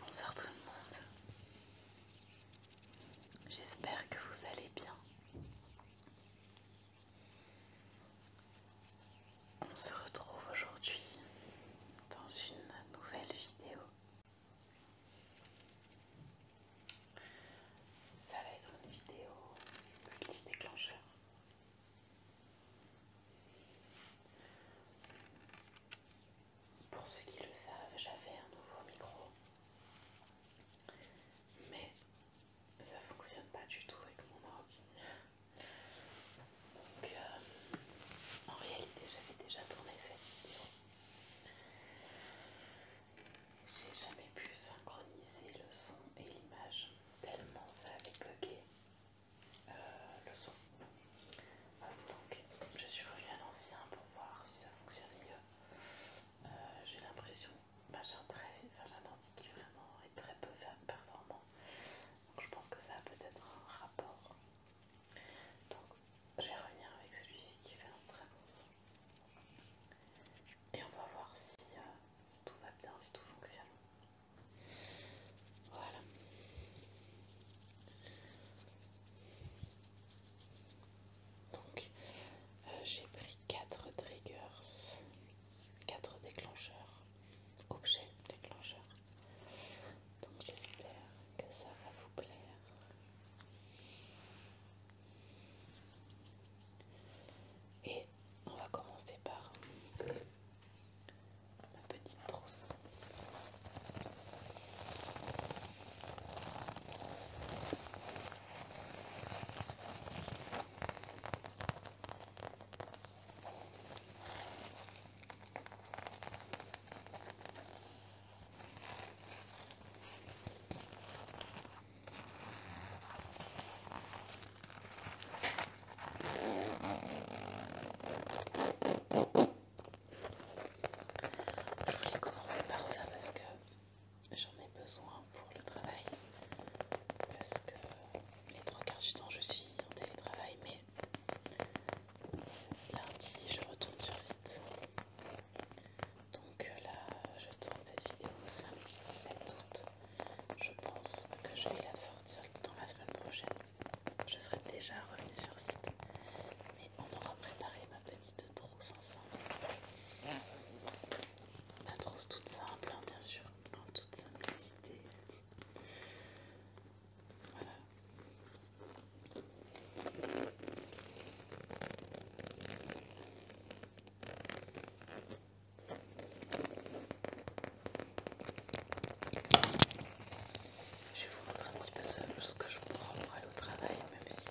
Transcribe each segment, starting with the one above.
Bonsoir tout le monde, j'espère que vous allez bien. On se retrouve aujourd'hui dans une nouvelle vidéo ça va être une vidéo petit déclencheur Pour ceux qui le savent, j'avais un nouveau micro, mais ça fonctionne pas du tout avec mon ordi. Donc, euh, en réalité, j'avais déjà tourné cette vidéo. J'ai jamais pu synchroniser le son et l'image, tellement ça avait bugué euh, le son. Euh, donc, je suis revenu à l'ancien pour voir si ça fonctionne mieux. j'ai l'impression, que j'ai un, enfin, ordi qui vraiment est très peu performant. Donc, je pense que ça a peut-être un rapport donc je vais revenir avec celui-ci qui fait un très bon son. Et on va voir si, euh, tout va bien, si tout fonctionne. Voilà. Donc euh, j'ai pris 4 triggers, 4 déclencheurs, objets déclencheurs donc j'espère que ça va vous plaire. Et on va commencer par ma petite trousse. Je voulais commencer par ça parce que j'en ai besoin pour le travail. Parce que les trois quarts du temps je suis en télétravail, mais lundi je retourne sur site. Donc euh, là je tourne cette vidéo samedi 7 août. Je pense que je vais la sortir dans la semaine prochaine. Je serai déjà revenue sur site. Mais on aura préparé ma petite trousse ensemble. Ma trousse toute simple, hein, bien sûr, en toute simplicité. Je vais vous montrer un petit peu ce, ce que je prends pour aller au travail, même si euh,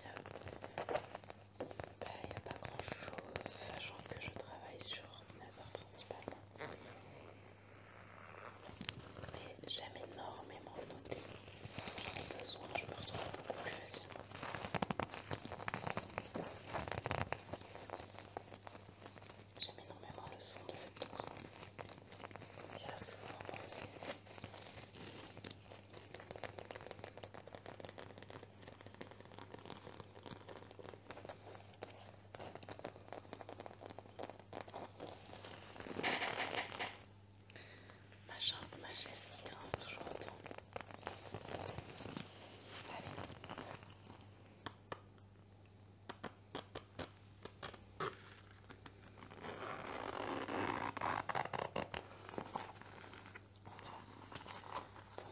ben, il n'y a pas grand chose, sachant que je travaille sur ordinateur principalement. Mais j'aime énormément noter. J'en ai besoin, je me retrouve peu plus facilement. J'aime énormément le son de cette douce. ce que vous en pensez. Ma chambre, ma chaise qui grince toujours autant. Allez.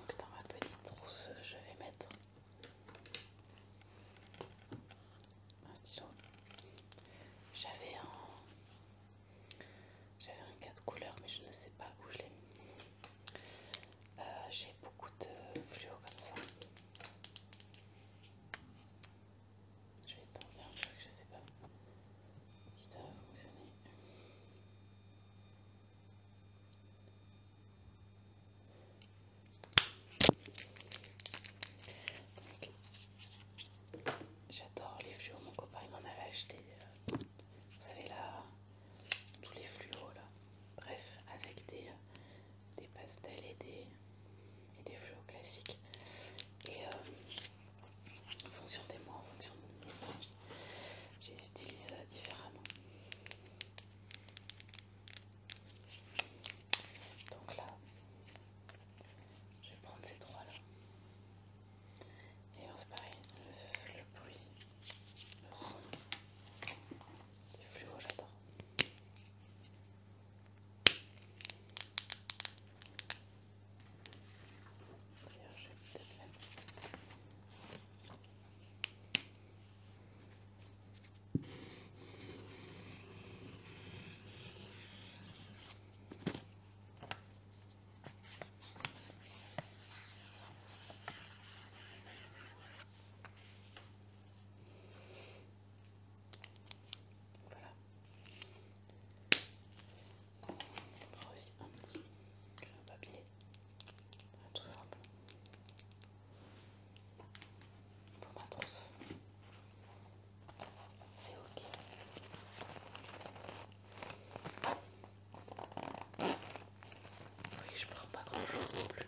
Donc dans ma petite trousse, je vais mettre un stylo. J'avais un, j'avais un cas de couleur, mais je ne sais pas où je l'ai mis. Euh, j'ai beaucoup de fluo comme ça. Je vais tenter un truc, je ne sais pas si ça va fonctionner j'adore les fluos, mon copain il m'en avait acheté, euh, vous savez là, tous les fluos là, bref, avec des, euh, des pastels et des, et des fluos classiques. Et euh, en fonction des mois, en fonction de mes je les utilise différemment. Donc là, je vais prendre ces trois là. Et on c'est pareil, le, bruit, le son, c'est fluos j'adore. D'ailleurs je voilà. On aussi un petit crayon papier. Tout simple. Faut pas C'est ok. Oui, je prends pas grand chose non plus.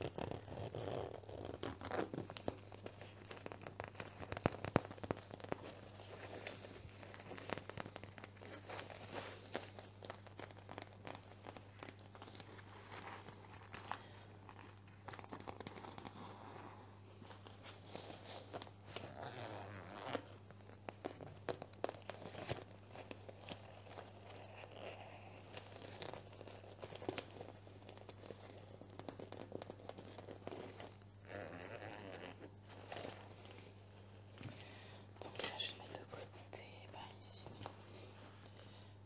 Donc ça je le mets de côté ben ici.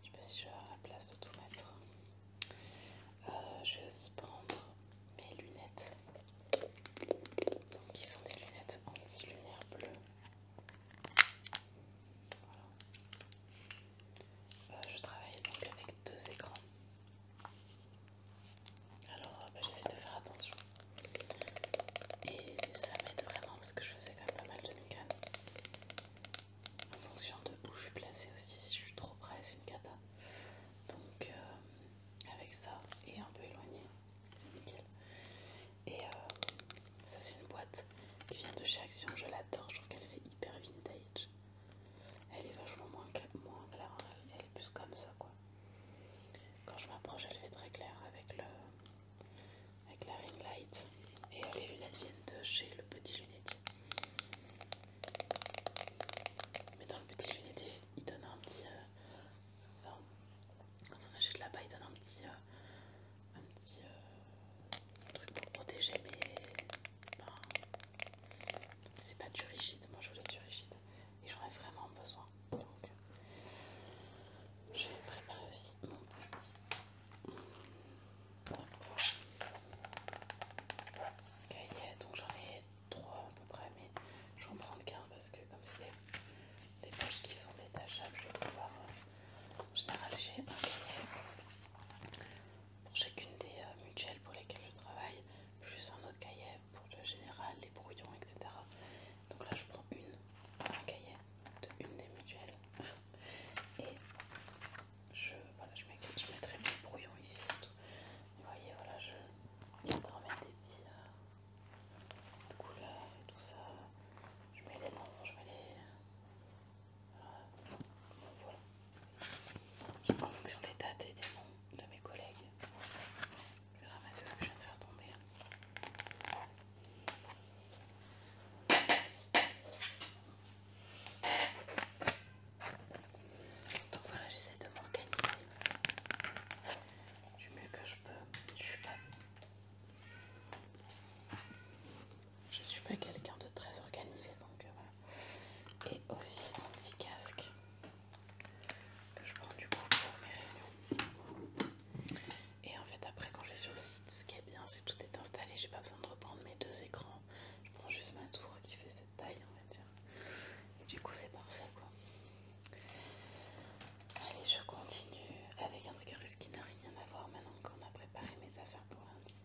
Je sais pas si la place de tout mettre. Euh, je vais aussi prendre mes lunettes. Donc, qui sont des lunettes anti-lumière bleue. Euh, je travaille donc avec deux écrans. Alors, euh, bah, j'essaie de faire attention. Et ça m'aide vraiment parce que je faisais quand même pas mal de mécanisme. En fonction de où je suis placée aussi, si je suis trop près, c'est une cata donc euh, avec ça et un peu éloigné nickel et euh, ça c'est une boîte qui vient de chez Action je l'adore je trouve qu'elle fait hyper vintage elle est vachement moins, moins claire elle est plus comme ça quoi quand je m'approche elle fait très clair avec le avec la ring light et les lunettes viennent de chez le petit lunette mais dans le petit il donne un petit. quand on achète là-bas, il donne un petit. petit truc pour protéger, mais. c'est pas du rigide. Moi, je voulais du rigide. Et j'en ai vraiment besoin. Donc, je vais préparer aussi mon petit. donc j'en ai 3 à peu près, mais je vais en prendre qu'un parce que comme c'est des, poches qui sont détachables, je vais pouvoir. Euh, en général, j'ai un cahier pour chacune des euh, mutuelles pour lesquelles je travaille, plus un autre cahier pour le général, les brouillons, etc. Donc là, je prends une, un cahier de une des mutuelles et je, voilà, je, mettrai mon brouillon ici. Vous voyez, voilà, je vais remettre des petits, euh, petites couleurs et tout ça. Je mets les noms, je mets les. Euh, voilà. voilà. En fonction des dates et des noms de mes collègues, je vais ramasser ce que je viens de faire tomber. Donc voilà, j'essaie de m'organiser du mieux que je peux. Je suis pas, suis pas quelqu'un de très organisé, donc euh, voilà. Et aussi mon petit casque que je prends du coup pour mes réunions. Et en fait, après, quand je vais sur site, ce qui est bien, c'est que tout est installé. J'ai pas besoin de reprendre mes deux écrans je prends juste ma tour qui fait cette taille, on va dire. Et du coup, c'est parfait quoi. Allez, je continue avec un truc qui n'a rien à voir maintenant qu'on a préparé mes affaires pour lundi.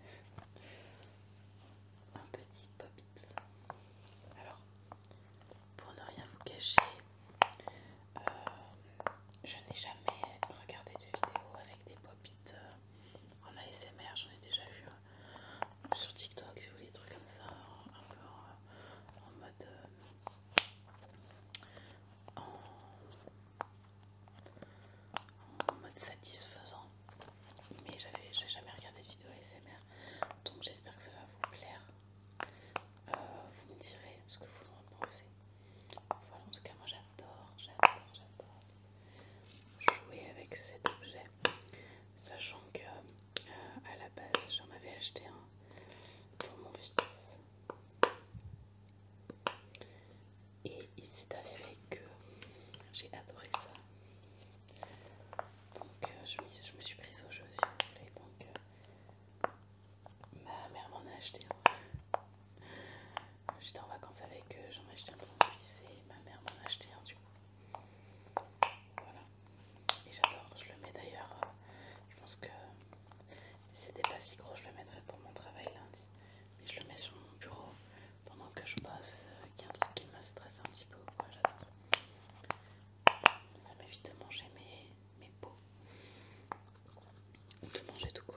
Un petit pop -it. Alors, pour ne rien vous cacher, euh, je n'ai jamais regardé de vidéo avec des pop it euh, en ASMR, j'en ai déjà vu. un sur TikTok, si vous voulez, des trucs comme ça, un peu en, mode. Euh, en, mode satisfaisant. Mais j'avais jamais regardé de vidéo ASMR, donc j'espère que ça va vous plaire. Euh, vous me direz ce que vous en pensez. Voilà, en tout cas, moi j'adore, j'adore, j'adore jouer avec cet objet, sachant que à la base, j'en avais acheté un pour mon fils. Et il s'est avec eux. j'ai adoré ça. Donc euh, je, me, suis prise au jeu si vous voulez. Donc euh, ma mère m'en a acheté un. J'étais en vacances avec eux, j'en ai acheté un pour mon fils et ma mère m'en a acheté un du coup. Voilà. Et j'adore, je le mets d'ailleurs. Euh, je pense que si c'était pas si gros, je le mettrais pour mon travail lundi. Mais je le mets sur mon bureau pendant que je bosse, y euh, a un truc qui me stresse un petit peu quoi, j'adore. Ça m'évite de manger mes, mes peaux. Ou de manger tout court.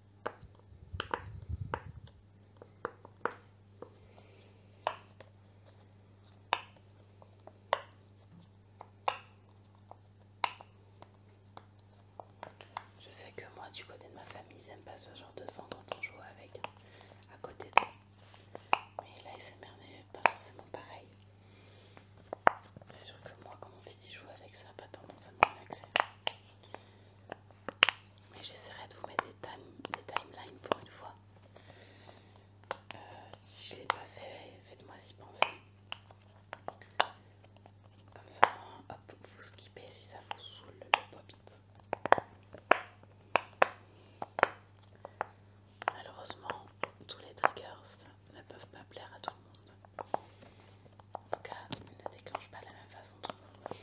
Je sais que moi, du côté de ma famille, j'aime pas ce genre de son quand on joue avec à côté d'eux. Mais là, n'est pas forcément pareil. C'est sûr que moi, quand mon fils y joue avec ça, pas tendance à me relaxer mais j'essaierai de vous mettre des, timelines pour une fois. Euh, si je ne l'ai pas fait, faites-moi s'y penser. Comme ça, hop, vous skippez si ça vous saoule le pop -it. Malheureusement, tous les triggers ne peuvent pas plaire à tout le monde. En tout cas, ils ne déclenchent pas de la même façon tout le monde.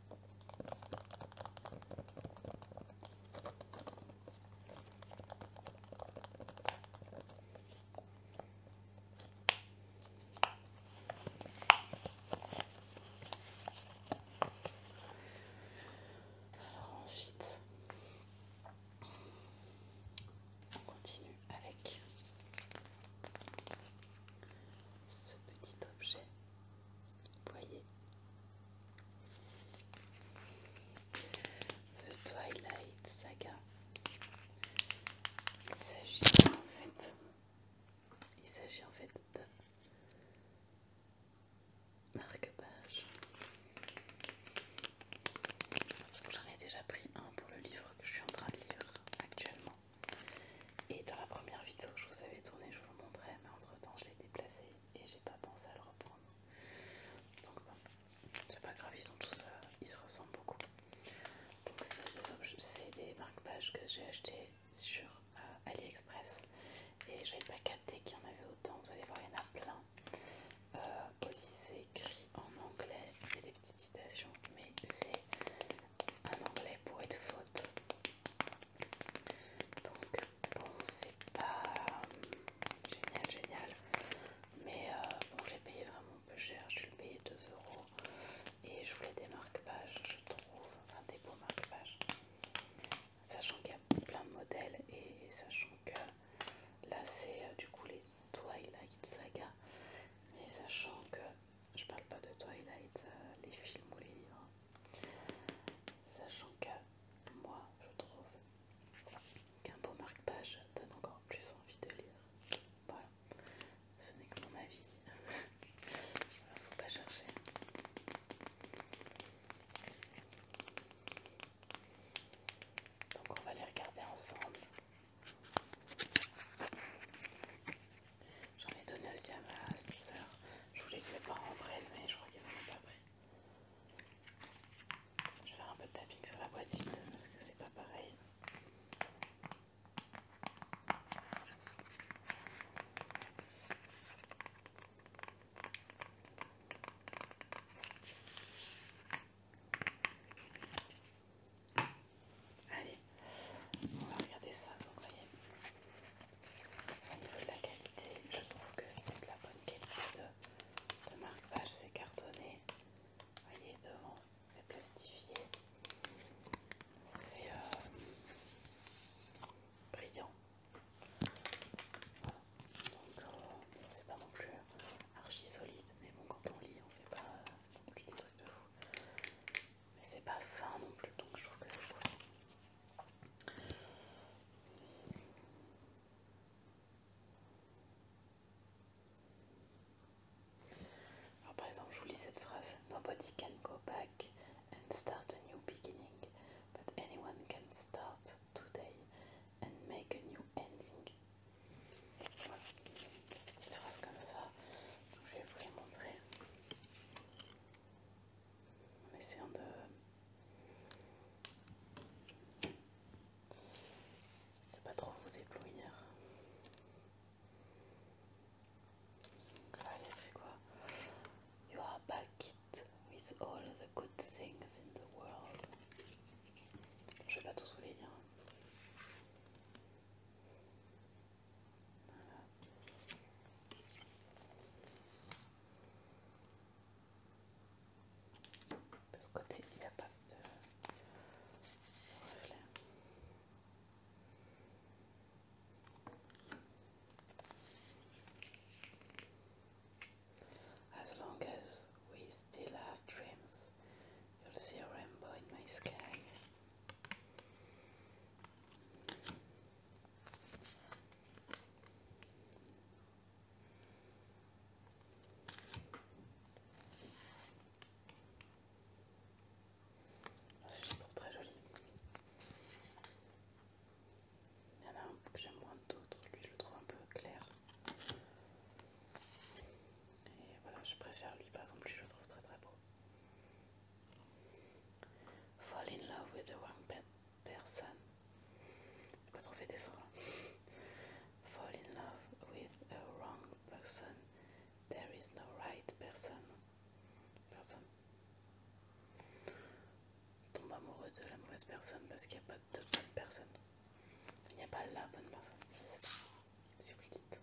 Alors ensuite, on continue avec ce petit objet voyez The Twilight Saga. Il s'agit en fait, il s'agit en fait de marque-page. J'en ai déjà pris un pour le livre que je suis en train de lire actuellement. Et dans la première vidéo que je vous avais tournée, je vous le montrais, mais entre temps je l'ai déplacé et j'ai pas pensé à le reprendre. Donc c'est pas grave, ils sont tous, euh, ils se ressemblent beaucoup. Donc c'est des, des marque-pages que j'ai acheté sur euh, AliExpress et j'avais pas capté qu'il y en avait autant, vous allez voir, il y en a plein. Euh, aussi c'est écrit en anglais, il y a des petites citations, mais c'est un anglais pour être faute. Donc bon c'est pas euh, génial génial mais euh, bon j'ai payé vraiment peu cher, je l'ai payé 2 euros et je voulais des marque-pages je trouve, enfin des beaux marque-pages sachant qu'il y a plein de modèles et sachant que là c'est euh, du coup les Twilight Saga mais sachant que je parle pas de Twilight, les films ou les livres Sachant que moi, je trouve qu'un beau marque-page donne encore plus envie de lire. Voilà, ce n'est que mon avis. ne faut pas chercher. Donc on va les regarder ensemble. J'en ai donné aussi à ma soeur je voulais que mes parents prennent, mais je crois qu'ils en ont pas pris. Je vais faire un peu de tapping sur la boîte vide parce que c'est pas pareil. Allez, on va regarder ça. Donc, voyez, de la qualité, je trouve que c'est de la bonne qualité de, marque marquage, c'est cartonné, vous voyez devant, c'est plastifié, c'est euh, brillant. Donc euh, c'est pas non plus archi solide, mais bon quand on lit on fait pas des trucs de fou. Mais c'est pas fin non plus, donc je trouve que c'est bon. Alors par exemple, je vous lis cette phrase. Nobody can go back and start a new beginning, but anyone can start today and make a new ending. Voilà, petite phrase comme ça. Je vais vous les montrer en essayant de ne pas trop vous éblouir. Donc là, il quoi You are back with all the good things in the world. Je vais pas tous vous les lire. As long as we still have dreams, you'll see a rainbow in my sky. Je trouve très joli, Il y en a un que j'aime moins d'autres, lui je le trouve un peu clair. Et voilà, je préfère lui par exemple, je le trouve très très beau. Fall in love with the wrong personne. Je trouver des là Fall in love with a wrong person. There is no right person. Personne. Tombe amoureux de la mauvaise personne parce qu'il n'y a pas de bonne personne. Il n'y a pas la bonne personne. Je sais pas. Si vous le dites.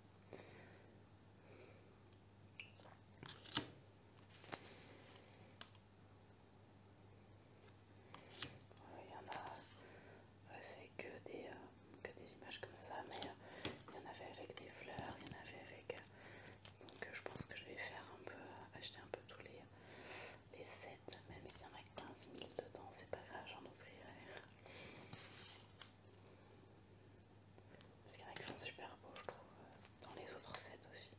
Il euh, y en a, euh, c'est que des, euh, des images comme ça, mais il y en avait avec des fleurs, il y en avait avec. donc je pense que je vais faire un peu, acheter un peu tous les, les sets, même s'il y en a 15 000 dedans, c'est pas grave, j'en ouvrirai. Parce qu'il y en a qui sont super beaux, je trouve, dans les autres sets aussi.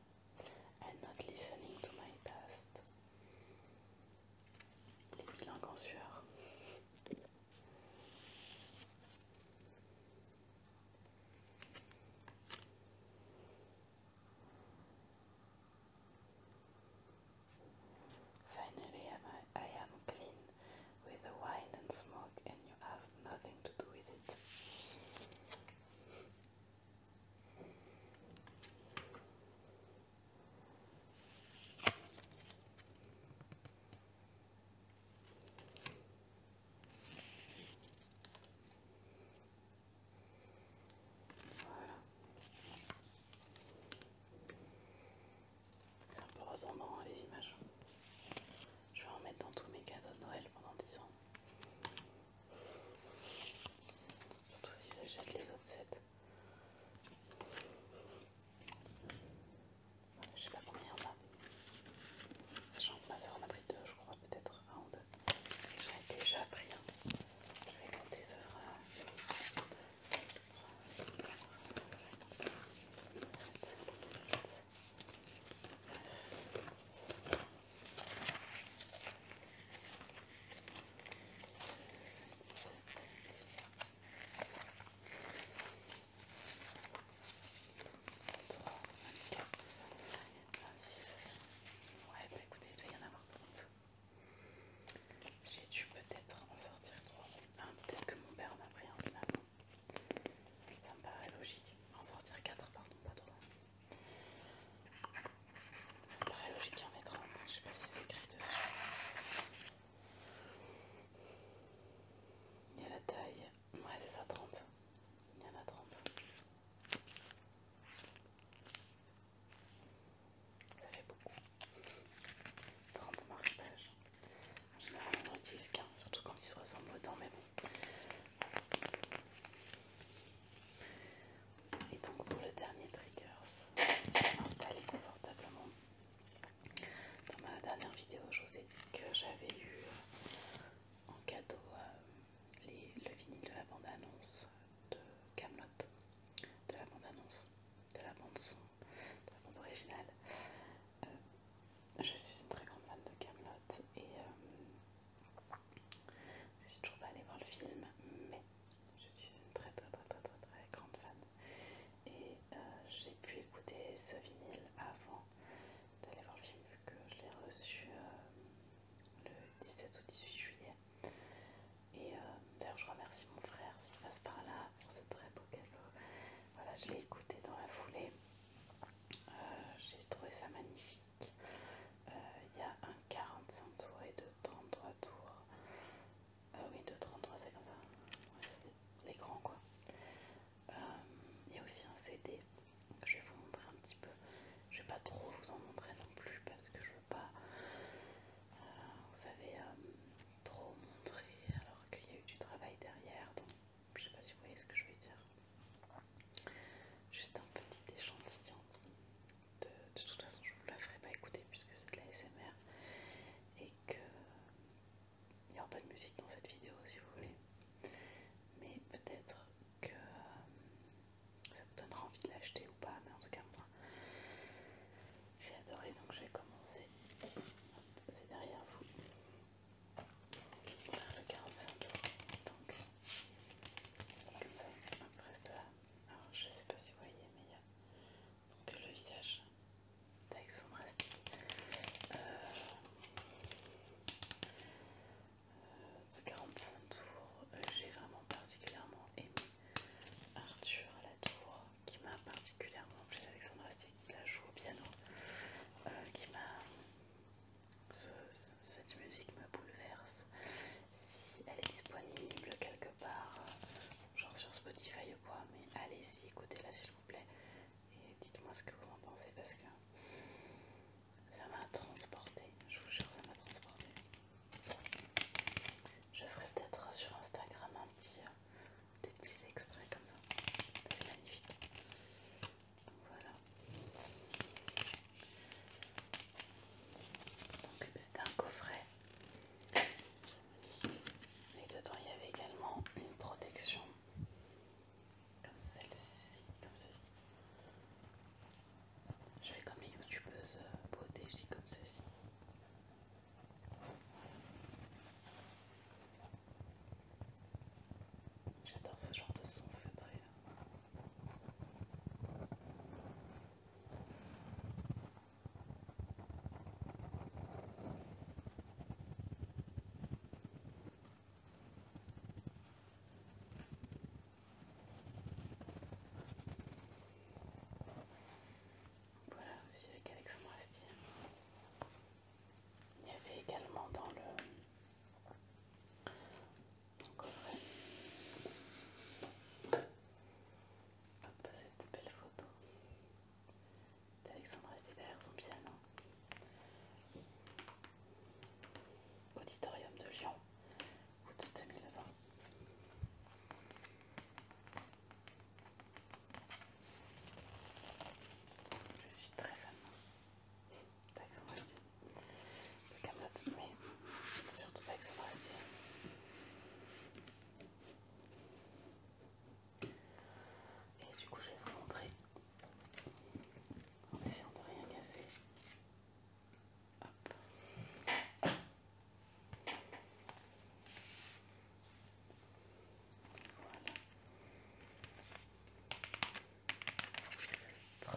and not listening to my past. Finally, I am clean with the wine and smoke, and you have nothing to do with it. Voilà. C'est un peu redondant hein, les images. Je vais en mettre dans tous mes cadeaux de Noël pendant 10 ans. Surtout si jette les autres 7. Je sais pas combien on a. ma soeur en pris je crois, peut-être un ou deux. J'en déjà pris un. Je vais compter, ça fera. 26. Ouais, bah écoutez, il doit y en avoir 30. J'ai dû peut-être en sortir 3. peut-être que mon père m'a pris un finalement. Ça me paraît logique. En sortir 4, pardon, pas 3. Ça paraît logique qu'il y en ait 30, je sais pas si c'est écrit dessus. Il y a la taille, ouais c'est ça, 30. Il y en a 30. Ça fait beaucoup. 30 marques. pages. En général on en utilise 15, surtout quand ils se ressemblent dedans, mais bon. Et donc pour le dernier trigger, installé confortablement. Dans ma dernière vidéo, je vous ai dit que j'avais eu en cadeau euh, les, le vinyle de la bande-annonce de Camelot, de la bande-annonce, de la bande-son, de la bande originale. Euh, je suis une très grande fan de Camelot et euh, je suis toujours pas allée voir le film, mais je suis une très très très très très, grande fan. Et euh, j'ai pu écouter ce vinyle avant d'aller voir le film, vu que je l'ai reçu euh, le 17 ou 18 juillet. Et euh, d'ailleurs, je remercie mon frère s'il passe par là pour ce très beau cadeau. Voilà, je l'ai écouté dans la foulée. Euh, j'ai trouvé ça magnifique. Euh, il y a un 45 tours et de 33 tours. Euh, oui, de 33, c'est comme ça. Ouais, les grands quoi. Il y a aussi un CD. Que je vais vous montrer un petit peu. Je vais pas trop vous en montrer non plus parce que je veux pas, vous savez, trop montrer alors qu'il y a eu du travail derrière. Donc je sais pas si vous voyez ce que je vais dire. Juste un petit échantillon. De, de toute façon, je vous la ferai pas écouter puisque c'est de la SMR et que il n'y aura pas de musique dans cette vidéo si vous voulez. Mais peut-être que euh, ça vous donnera envie de l'acheter ou pas. Mais en tout cas, moi, j'ai adoré donc je j'ai commencé. C'est derrière vous. le 45 Donc comme ça, après cela, alors je sais pas si vous voyez, mais il y a donc le visage d'Alexandre Asti. ce euh, euh, 45 tours, euh, j'ai vraiment particulièrement aimé Arthur à la tour, qui m'a particulièrement, en plus Alexandre Asti qui la joue au piano, qui m'a cette musique me bouleverse. Si elle est disponible quelque part, euh, genre sur Spotify ou quoi, mais allez-y, écoutez-la s'il vous plaît et dites-moi ce que vous en pensez parce que ça m'a transporté. Je vous jure, ça m'a transporté. Je ferai peut-être euh, sur Instagram un petit, euh, des petits extraits comme ça. C'est magnifique. Voilà. Donc c'était un coffret. Et dedans il y avait également une protection comme celle-ci, comme ceci. Je fais comme une youtubeuse euh, beauté, je dis comme ceci. J'adore ce genre de son feutré. Voilà aussi avec Alexandre Il y avait également dans le donc, vrai. cette belle photo d'Alexandre assis son piano. Auditorium de Lyon, août 2020. Je suis très fan d'Aix en de mais surtout d'Aix Et du coup, je vais vous montrer en essayant de rien casser. Hop. Voilà.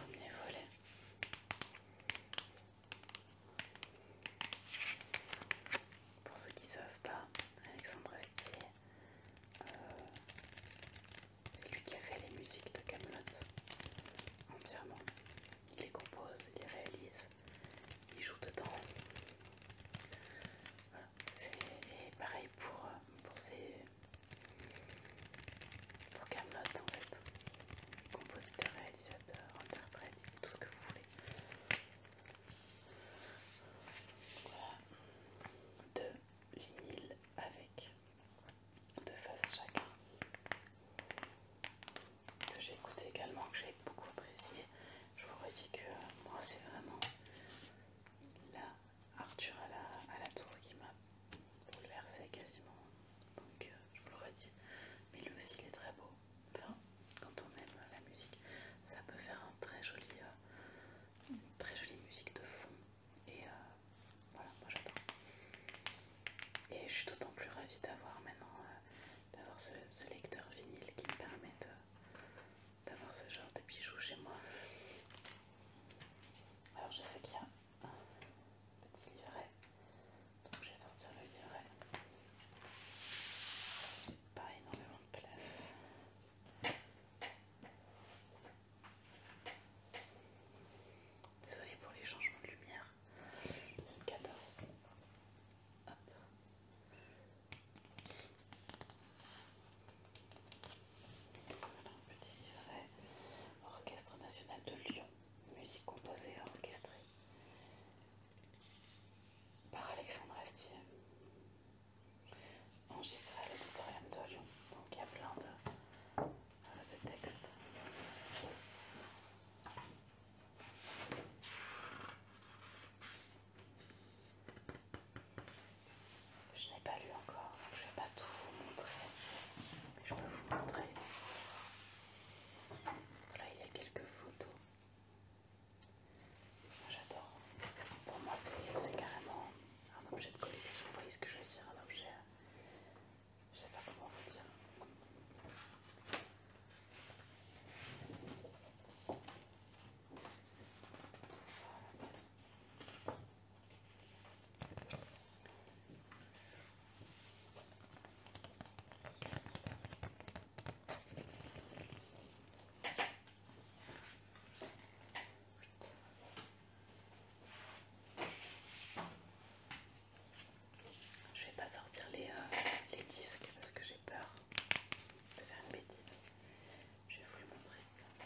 Premier volet. Pour ceux qui ne savent pas, Alexandre Astier, euh, c'est lui qui a fait les musiques de Camelot entièrement. Il les compose, il les réalise, il joue dedans. Voilà, c'est pareil pour, pour pour Camelot en fait. Compositeur, réalisateur, interprète, tout ce que vous voulez. Voilà. Deux vinyles avec deux faces chacun. Que j'ai écouté également, que j'ai beaucoup apprécié. Je vous redis que moi c'est vraiment la Arthur à la, à la tour qui m'a bouleversé quasiment. Donc euh, je vous le redis. Mais lui aussi il est très beau. Enfin, quand on aime la musique, ça peut faire un très joli, euh, très jolie musique de fond. Et euh, voilà, moi j'adore. Et je suis d'autant plus ravie d'avoir maintenant d'avoir ce, ce lecteur vinyle qui me permet d'avoir ce genre de bijoux chez moi. Alors je sais qu'il y a petit livret. Donc je vais sortir le livret. J'ai pas énormément de place. Désolée pour les changements de lumière. C'est 14. Hop. Petit livret. Euh, orchestre national de Lyon. Musique composée et orchestrée par Alexandre Astier. Enregistré à l'auditorium de Lyon. Donc il y a plein de, euh, de textes. Je n'ai pas lu encore, donc je ne vais pas tout vous montrer je peux vous montrer. Voilà, il y a quelques photos. J'adore. Pour moi, c'est carrément un objet de collection. Vous voyez ce que je veux dire Un objet. Je sais pas comment vous dire. Je vais pas sortir les, euh, les disques parce que j'ai peur de faire une bêtise. Je vais vous le montrer comme ça.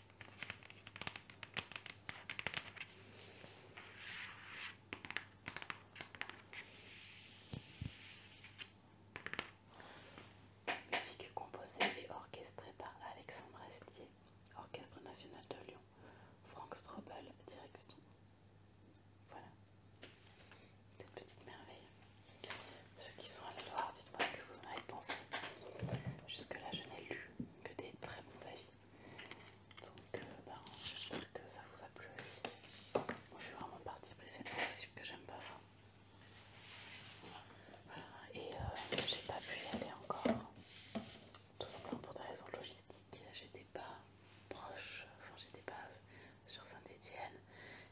Musique composée et orchestrée par Alexandre Astier, Orchestre National de Lyon, Franck Strobel, direction. Voilà, cette petite merveille. Ceux qui sont à la Loire, dites-moi ce que vous en avez pensé. Jusque-là, je n'ai lu que des très bons avis. Donc, euh, bah, j'espère que ça vous a plu aussi. Moi, je suis vraiment partie mais c'est fois possible que j'aime pas. voilà, et euh, j'ai pas pu y aller encore, tout simplement pour des raisons logistiques. J'étais pas proche, enfin, j'étais pas sur Saint-Étienne.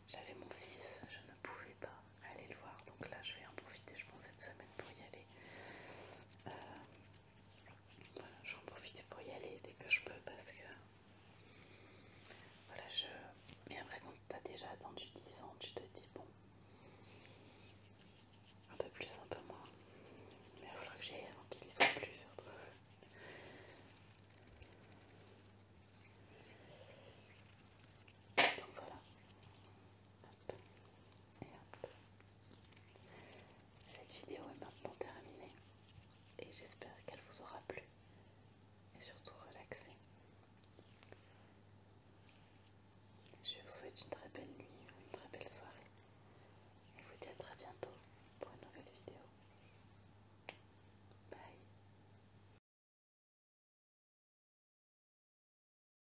J'avais mon fils, je ne pouvais pas aller le voir. Donc là, je vais en profiter, je pense, cette semaine pour y aller. Je euh, vais en profiter pour y aller dès que je peux parce que voilà je. Mais après quand t'as déjà attendu 10 ans, tu te dis bon un peu plus, un peu moins. Mais il faudra que j'aille avant qu'il y soit plus surtout. Donc voilà. Et hop. Cette vidéo est maintenant terminée et j'espère qu'elle vous aura plu et surtout relaxé. Je vous souhaite une très belle nuit, une très belle soirée et vous dis à très bientôt pour une nouvelle vidéo. Bye